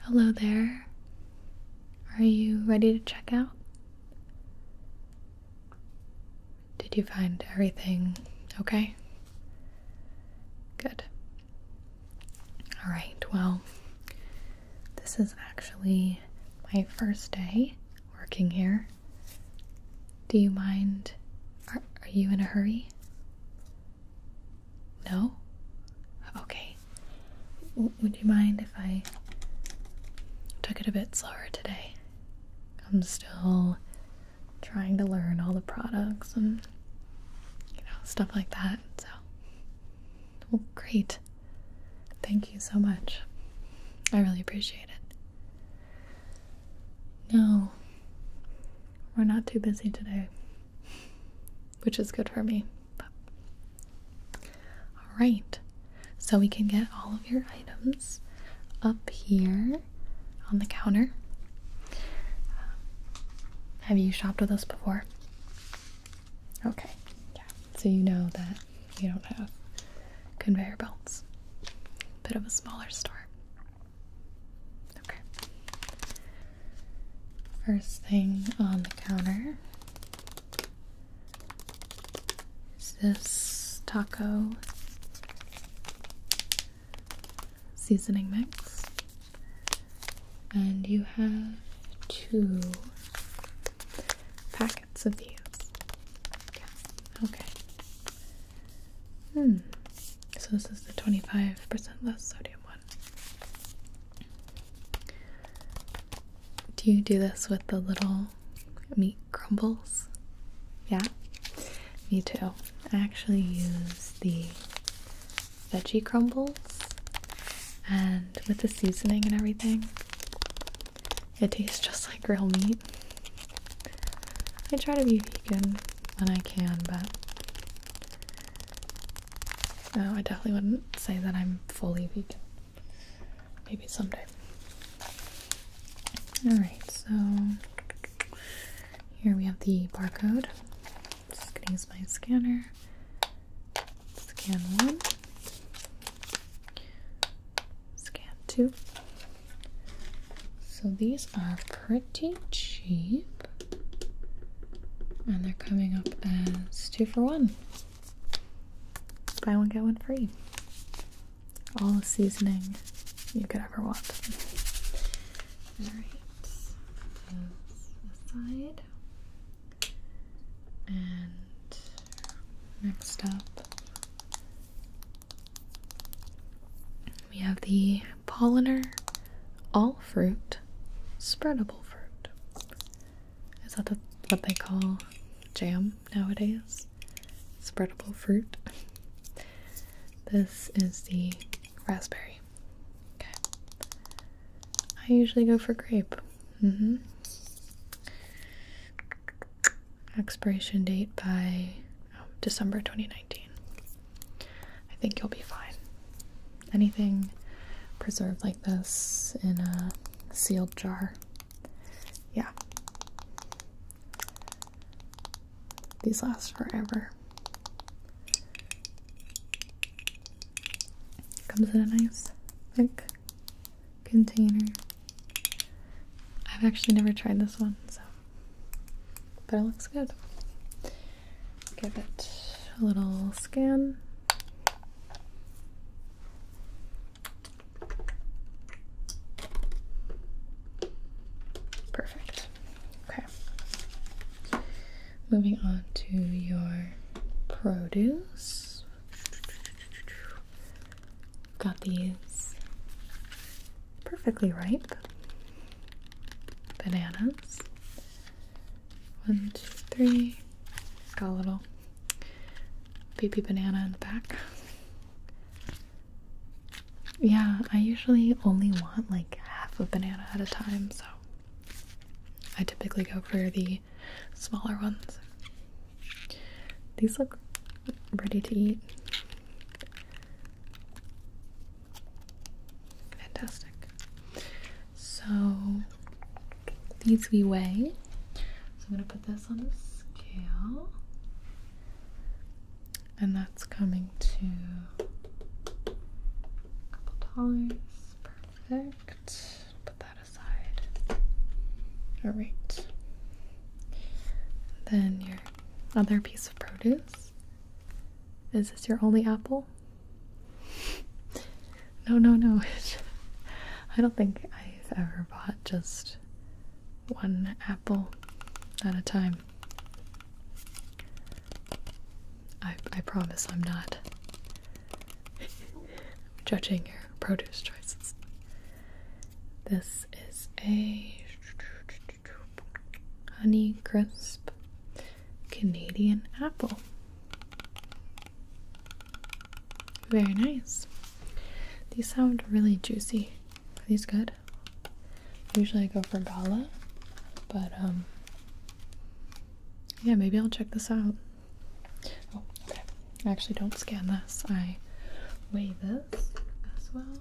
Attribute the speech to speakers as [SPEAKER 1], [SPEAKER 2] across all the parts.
[SPEAKER 1] Hello there. Are you ready to check out? Did you find everything okay? Good. Alright, well, this is actually my first day working here. Do you mind? Are, you in a hurry? No? Okay. would you mind if I took it a bit slower today? I'm still trying to learn all the products and you know stuff like that. So, great. Thank you so much. I really appreciate it. No, we're not too busy today, which is good for me. All right, so we can get all of your items up here on the counter. Um, have you shopped with us before? Okay, yeah. So you know that we don't have conveyor belts. Bit of a smaller store. Okay. First thing on the counter is this taco seasoning mix, and you have two packets of these. Okay. Hmm. So this is the 25% less sodium one. Do you do this with the little meat crumbles? Yeah? Me too. I actually use the veggie crumbles and with the seasoning and everything, it tastes just like real meat. I try to be vegan when I can, but no, I definitely wouldn't say that I'm fully vegan. Maybe someday. Alright, so here we have the barcode. Just gonna use my scanner. Scan one. Scan two. So these are pretty pretty cheap. And they're coming up as two for one. Buy one, get one free. All the seasoning you could ever want. Alright, aside. And next up, we have the pollinator, all fruit, spreadable fruit. Is that what they call jam nowadays? Spreadable fruit. This is the raspberry. Okay. I usually go for grape. Mm-hmm. Expiration date by December 2019. I think you'll be fine. Anything preserved like this in a sealed jar, yeah. These last forever. Comes in a nice, thick container. I've actually never tried this one, so but it looks good. Give it a little scan. Perfect. Okay. Moving on to your produce. Got these perfectly ripe bananas. One, two, three. It's got a little baby banana in the back. Yeah, I usually only want like half a banana at a time, so I typically go for the smaller ones. These look ready to eat. Fantastic. So these we weigh. So I'm going to put this on the scale. And that's coming to a couple dollars. Perfect. Put that aside. All right. Then your other piece of produce. Is this your only apple? No, no, no. I don't think I've ever bought just one apple at a time. I, I promise I'm not judging your produce choices. This is a Honey Crisp Canadian Apple. Very nice. These sound really juicy. Are these good? Usually I go for gala, but um yeah, maybe I'll check this out. Oh, okay. I actually don't scan this. I weigh this as well.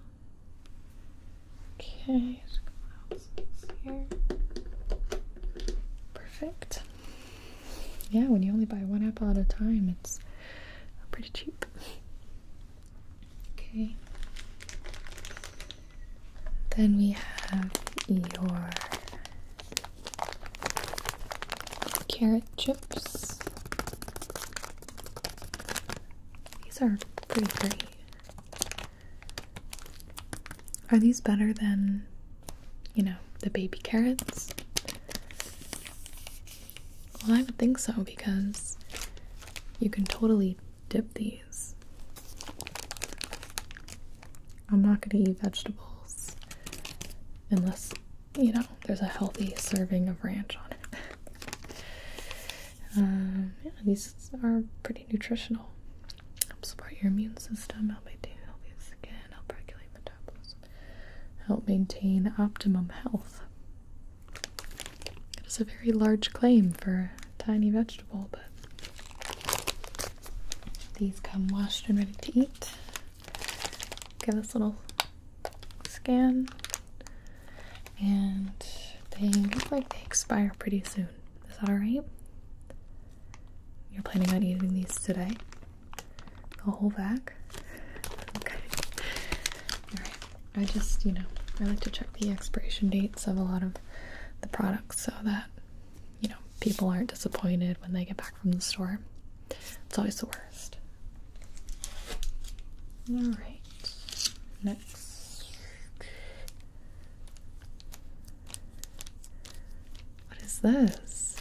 [SPEAKER 1] Okay, Perfect. Yeah, when you only buy one apple at a time, it's pretty cheap. Okay. Then we have your carrot chips. These are pretty great. Are these better than, you know, the baby carrots? Well, I would think so because you can totally dip these. I'm not going to eat vegetables unless, you know, there's a healthy serving of ranch on it. Um, yeah, these are pretty nutritional. Help support your immune system, help maintain healthy skin, help regulate metabolism, help maintain optimum health. It's a very large claim for a tiny vegetable, but these come washed and ready to eat. Give this little scan, and they look like they expire pretty soon. Is that alright? You're planning on eating these today? The whole bag? Okay. Alright. I just, you know, I like to check the expiration dates of a lot of the products so that, you know, people aren't disappointed when they get back from the store. It's always the worst. Alright. Next. What is this?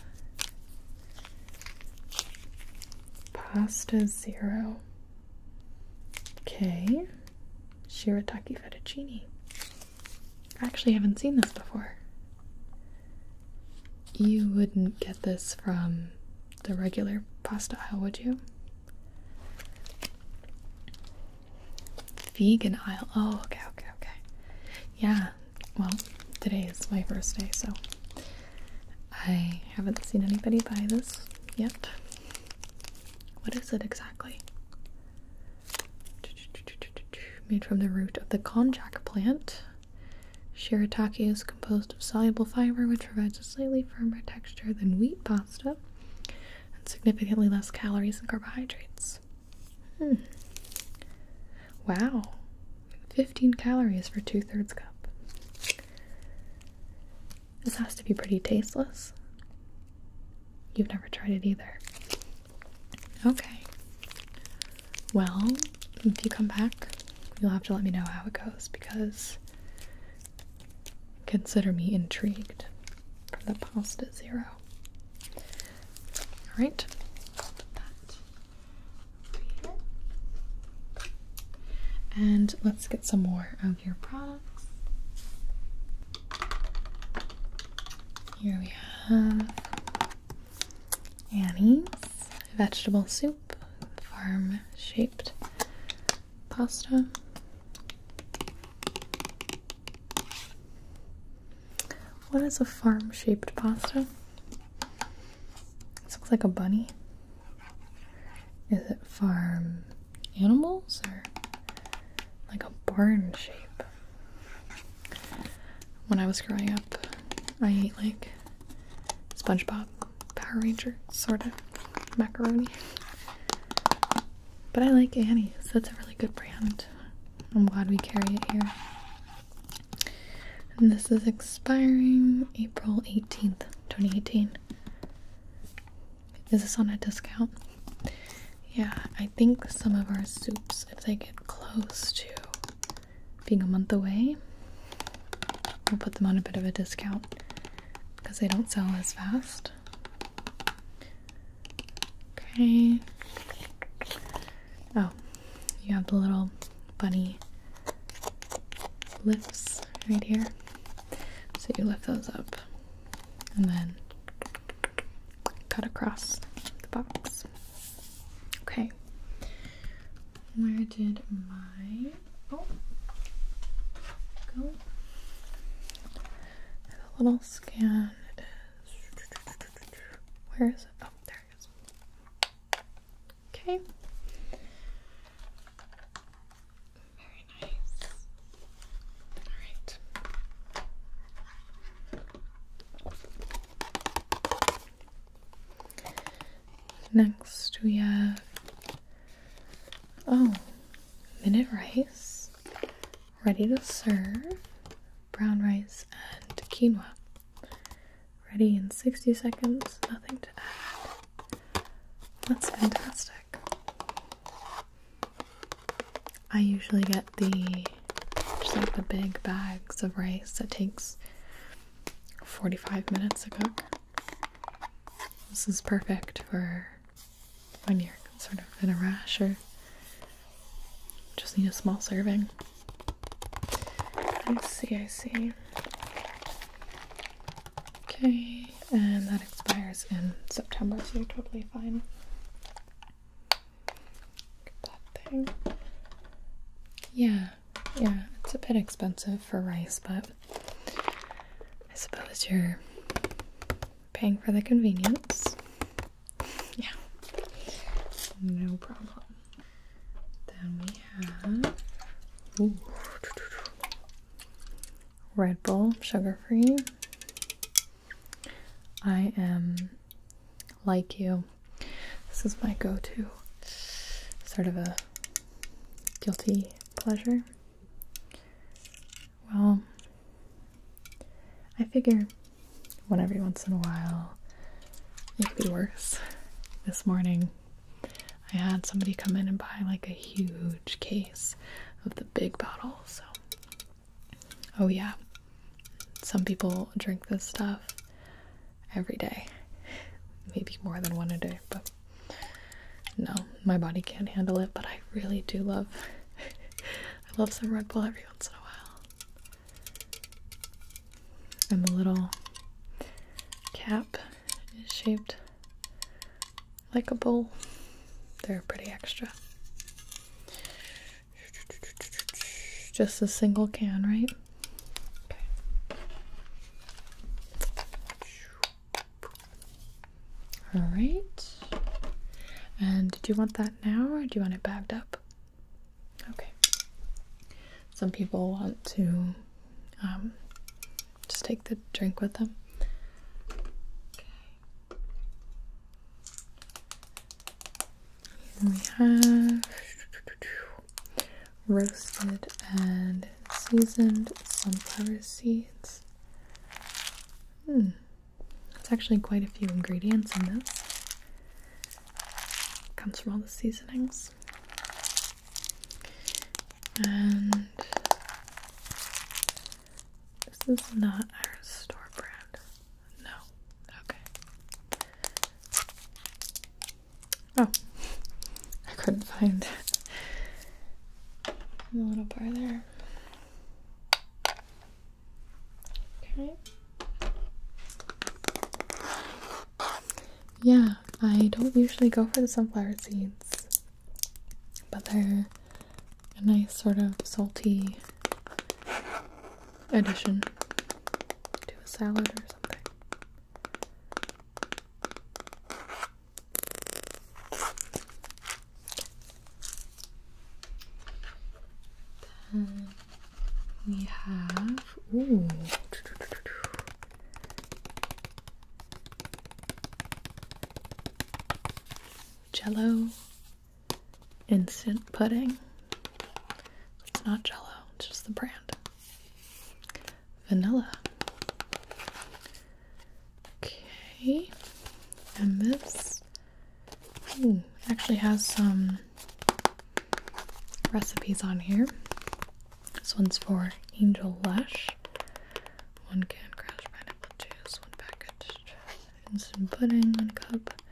[SPEAKER 1] Pasta zero. Okay. Shirataki fettuccine. I actually haven't seen this before. You wouldn't get this from the regular pasta aisle, would you? Vegan aisle. Oh, okay, okay, okay. Yeah, well, today is my first day, so I haven't seen anybody buy this yet. What is it exactly? Made from the root of the konjac plant. Shirataki is composed of soluble fiber, which provides a slightly firmer texture than wheat bile Stuff and significantly less calories and carbohydrates. Hmm. Wow, 15 calories for two thirds cup. This has to be pretty tasteless. You've never tried it either. Okay. Well, if you come back, you'll have to let me know how it goes because Consider me intrigued for the pasta zero. All right, And let's get some more of your products. Here we have Annie's vegetable soup, farm shaped pasta. What is a farm shaped pasta? This looks like a bunny. Is it farm animals or like a barn shape? When I was growing up, I ate like SpongeBob, Power Ranger, sort of macaroni. But I like Annie's. That's a really good brand. I'm glad we carry it here. And this is expiring April 18th, 2018. Is this on a discount? Yeah, I think some of our soups, if they get close to being a month away, we'll put them on a bit of a discount because they don't sell as fast. Okay. Oh, you have the little bunny lips right here. So you lift those up and then cut across the box. Okay. Where did my oh go? And the little scan is where is it? Oh, there it is. Okay. Very nice. All right. Next we have oh, minute rice. Ready to serve brown rice and quinoa. Ready in 60 seconds, nothing to add. That's fantastic. I usually get the just like the big bags of rice that takes 45 minutes to cook. This is perfect for when you're sort of in a rash or just need a small serving. I see, I see. Okay, and that expires in September, so you're totally fine. that thing. Yeah, yeah, it's a bit expensive for rice, but I suppose you're Paying for the convenience. Yeah. No problem. Then we have Red Bull, sugar free. I am like you. This is my go to. Sort of a guilty pleasure. Well, I figure one every once in a while it could be worse. This morning I had somebody come in and buy like a huge case of the big bottle, so oh yeah. Some people drink this stuff every day. Maybe more than one a day, but no, my body can't handle it, but I really do love I love some Red Bull every once in a while. And the little cap is shaped like a bowl. They're pretty extra. Just a single can, right? All right. And do you want that now or do you want it bagged up? Okay. Some people want to um, just take the drink with them. Okay. we have roasted and seasoned sunflower seeds. Hmm. It's actually quite a few ingredients in this. Comes from all the seasonings. And this is not our store brand. No. Okay. Oh. I couldn't find the little bar there. Okay. Yeah, I don't usually go for the sunflower seeds, but they're a nice sort of salty addition to a salad or something. Then we have ooh. Jello instant pudding. It's not Jello, it's just the brand. Vanilla. Okay, and this actually has some recipes on here. This one's for Angel Lush. One can crushed pineapple juice, one package instant pudding, one cup.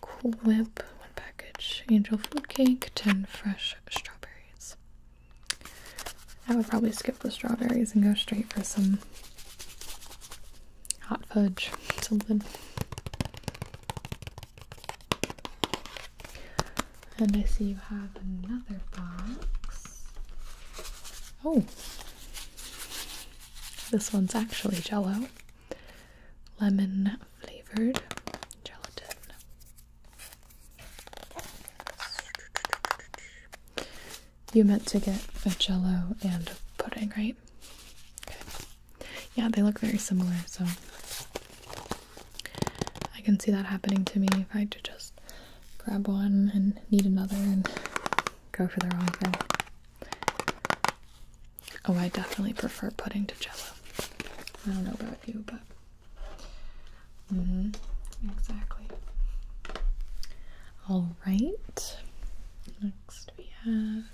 [SPEAKER 1] Cool Whip, one package. Angel food cake, 10 fresh strawberries. I would probably skip the strawberries and go straight for some hot fudge, something. And I see you have another box. Oh, this one's actually jello, lemon flavored gelatin. You meant to get a jello and a pudding, right? Okay. Yeah, they look very similar, so I can see that happening to me if I just grab one and need another and go for the wrong thing. Oh, I definitely prefer pudding to jello. I don't know about you, but. hmm. Exactly. All right. Next we have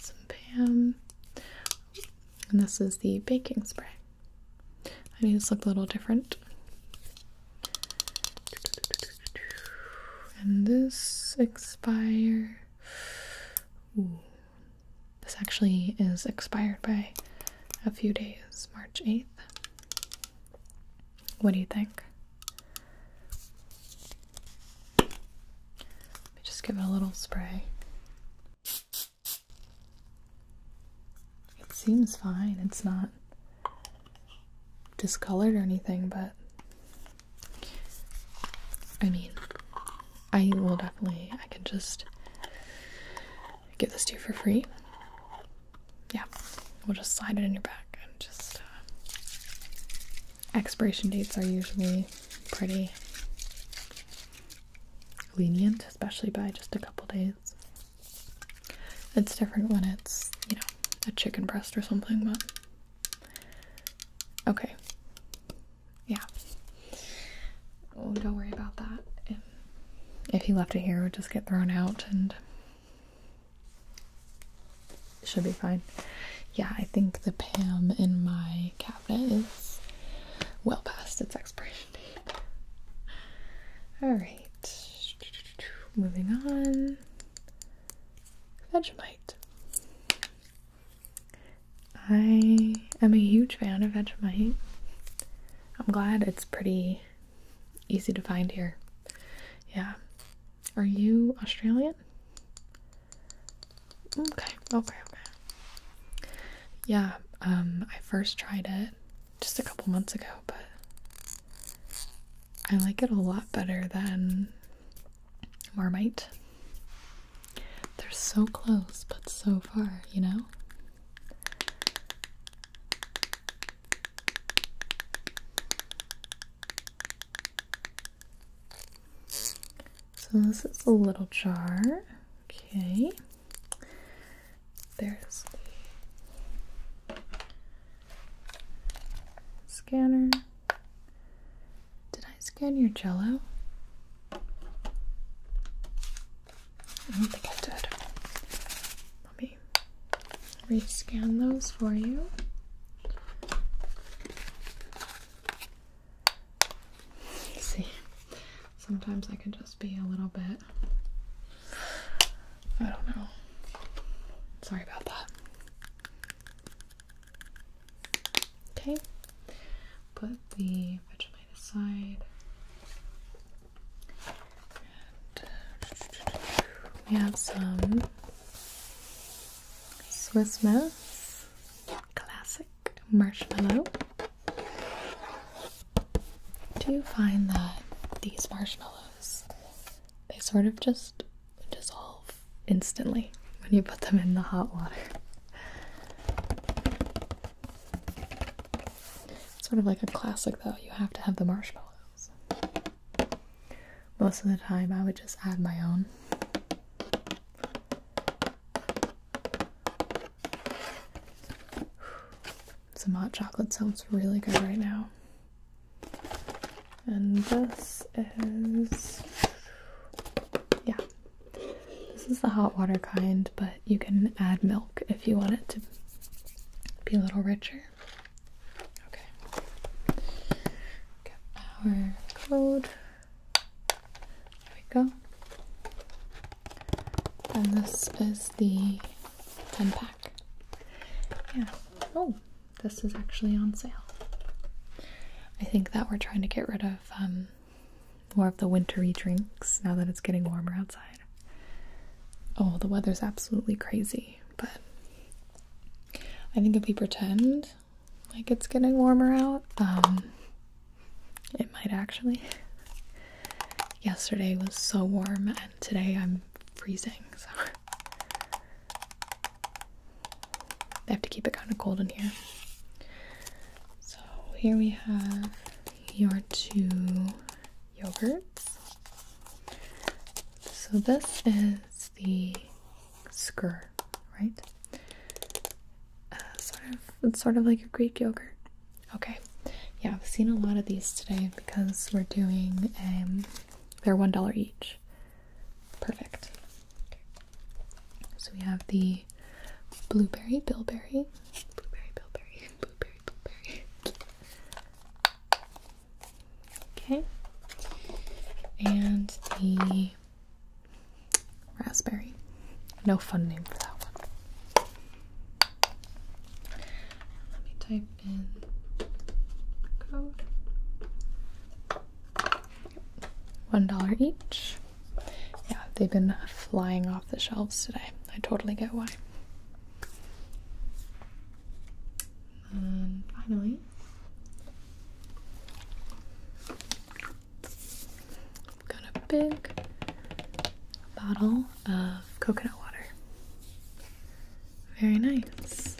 [SPEAKER 1] some Pam. And this is the baking spray. I need to look a little different. And this expire. This actually is expired by a few days, March 8th. What do you think? Let me just give it a little spray. It seems fine. It's not discolored or anything, but I mean, I will definitely, I can just give this to you for free yeah, we'll just slide it in your back and just. Uh, expiration dates are usually pretty lenient, especially by just a couple days. It's different when it's, you know, a chicken breast or something, but. Okay. Yeah. don't worry about that. If, if he left it here, it would just get thrown out and should be fine. Yeah, I think the Pam in my cabinet is well past its expiration date. Alright, moving on. Vegemite. I am a huge fan of Vegemite. I'm glad it's pretty Easy to find here. Yeah. Are you Australian? Okay, okay, okay. Yeah, um, I first tried it just a couple months ago, but I like it a lot better than Marmite. They're so close, but so far, you know? So this is a little jar. Okay. There's the scanner. Did I scan your jello? I don't think I did. Let me Okay, scan those for you. see, sometimes I can just be a little bit, I don't know. Sorry about that. Okay, put the Vegemite aside. Uh, we have some Swiss Miss Classic Marshmallow. Do you find that these marshmallows they sort of just dissolve instantly when you put them in the hot water? It's sort of like a classic though, you have to have the marshmallows. Most of the time, I would just add my own. Some hot chocolate sounds really good right now. And this is. Yeah. This is the hot water kind, but you can add milk if you want it to be a little richer. Okay. our code. There we go. And this is the 10 pack. Yeah. Oh, this is actually on sale. I think that we're trying to get rid of um, more of the wintry drinks now that it's getting warmer outside. Oh, the weather's absolutely crazy, but I think if we pretend like it's getting warmer out, um, it might actually. Yesterday was so warm, and today I'm freezing, so I have to keep it kind of cold in here. So, here we have your two yogurts. So this is the skur, right? Uh, sort of, it's sort of like a Greek yogurt. Okay, yeah, I've seen a lot of these today because we're doing um, they're one dollar each. Perfect. So we have the blueberry bilberry, blueberry bilberry, blueberry bilberry. Okay. And the raspberry. No fun name for that one. Let me type in code. One dollar each. Yeah, they've been flying off the shelves today. I totally get why. And um, finally, I've got a big bottle of coconut water. Very nice.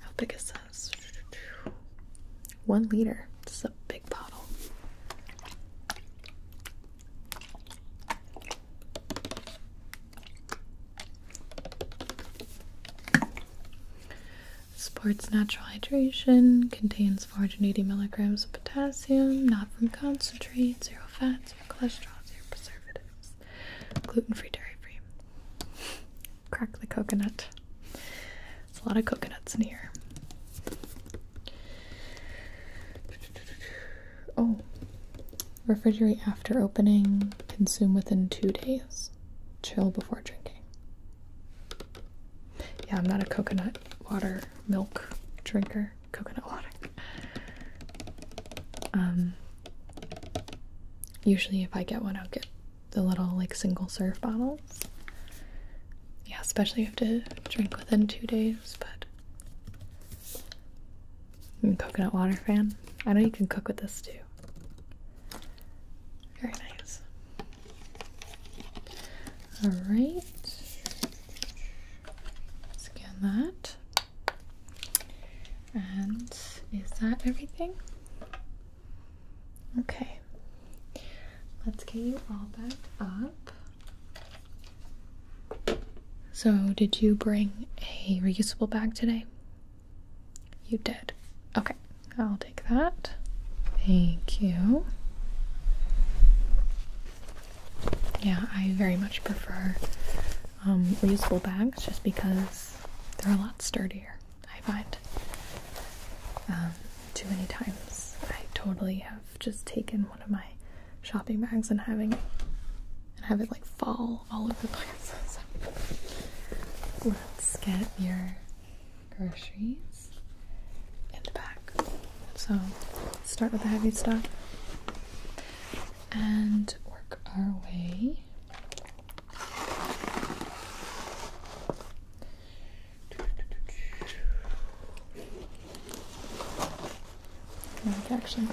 [SPEAKER 1] How big is this? One liter. It's a big bottle. Sports Natural Hydration contains 480 milligrams of potassium, not from concentrate, zero fats, zero cholesterol, zero preservatives, gluten free, dairy free. Crack the coconut. There's a lot of coconuts in here. Oh, refrigerate after opening, consume within two days, chill before drinking. Yeah, I'm not a coconut water milk drinker, coconut water. Um, usually, if I get one, I'll get the little like single serve bottles. Yeah, especially if you have to drink within two days, but I'm a coconut water fan. I know you can cook with this too. Very nice. Alright. Scan that. And is that everything? Okay. Let's get you all backed up. So, did you bring a reusable bag today? You did. Okay, I'll take that. Thank you. Yeah, I very much prefer um, reusable bags just because they're a lot sturdier, I find. Um, too many times I totally have just taken one of my shopping bags and having and have it like fall all of the place. let's get your groceries in the back. So start with the heavy stuff and work our way. Like actually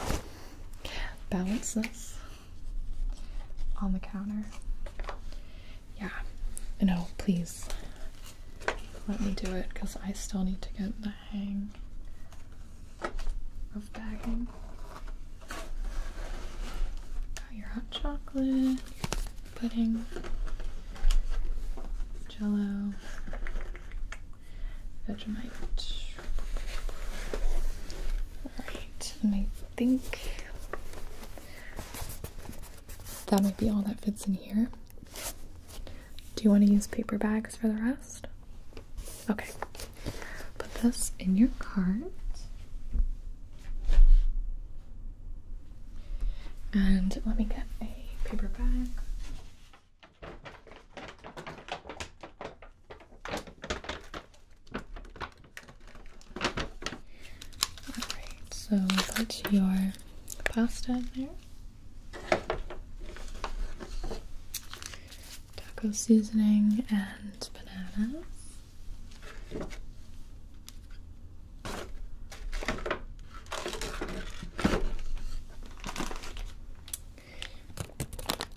[SPEAKER 1] balance this on the counter. Yeah, no, please let me do it because I still need to get the hang of bagging. your hot chocolate, pudding, jello, Vegemite. Alright, and I think that might be all that fits in here. Do you want to use paper bags for the rest? Okay. Put this in your cart. And let me get a paper bag. Alright, so that's your pasta there, taco seasoning, and bananas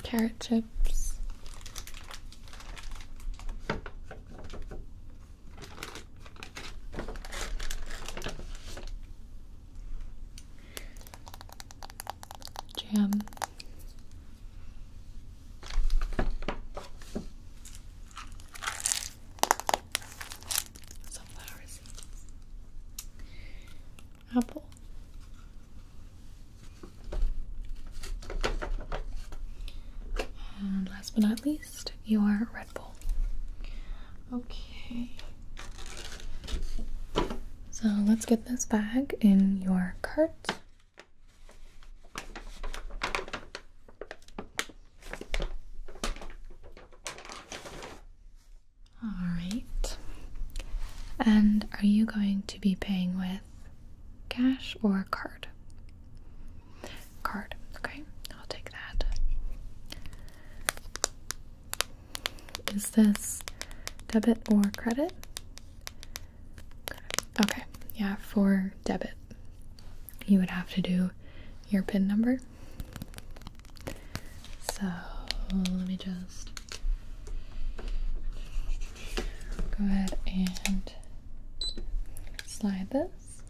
[SPEAKER 1] carrot chips. Jam. Sunflower seeds apple. And last but not least, your Red Bull. Okay. So let's get this bag in your cart. All right. And are you going to be paying with cash or card? Card, okay, I'll take that. Is this debit or credit? Okay, yeah, for debit, you would have to do your PIN number. So let me just Go ahead and slide this.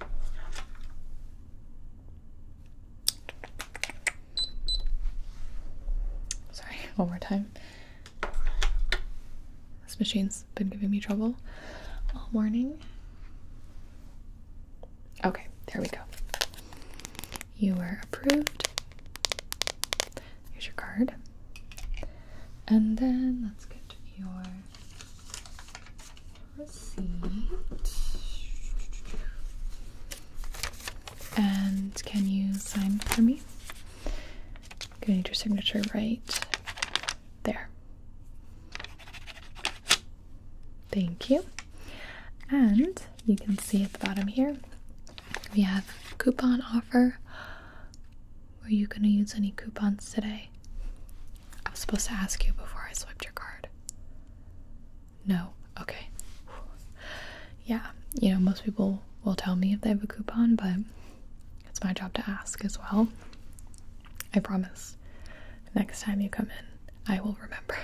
[SPEAKER 1] Sorry, one more time. This machine's been giving me trouble all morning. Okay, there we go. You are approved. Use your card. And then let's get your receipt. And can you sign for me? I'm gonna need your signature right there. Thank you. And you can see at the bottom here we have coupon offer. Were you going to use any coupons today? I was supposed to ask you before I swiped your card. No. Okay. Yeah, you know, most people will tell me if they have a coupon, but it's my job to ask as well. I promise. Next time you come in, I will remember.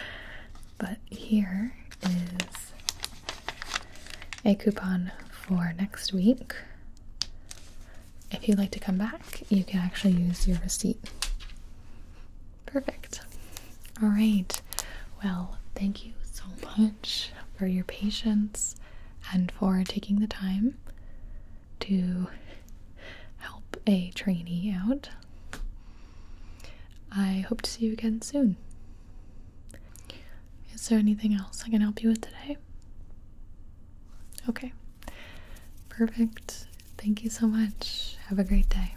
[SPEAKER 1] But here is a coupon for next week. If you'd like to come back, you can actually use your receipt. Perfect. All right. Well, thank you so much for your patience and for taking the time to help a trainee out. I hope to see you again soon. Is there anything else I can help you with today? Okay. Perfect. Thank you so much. Have a great day.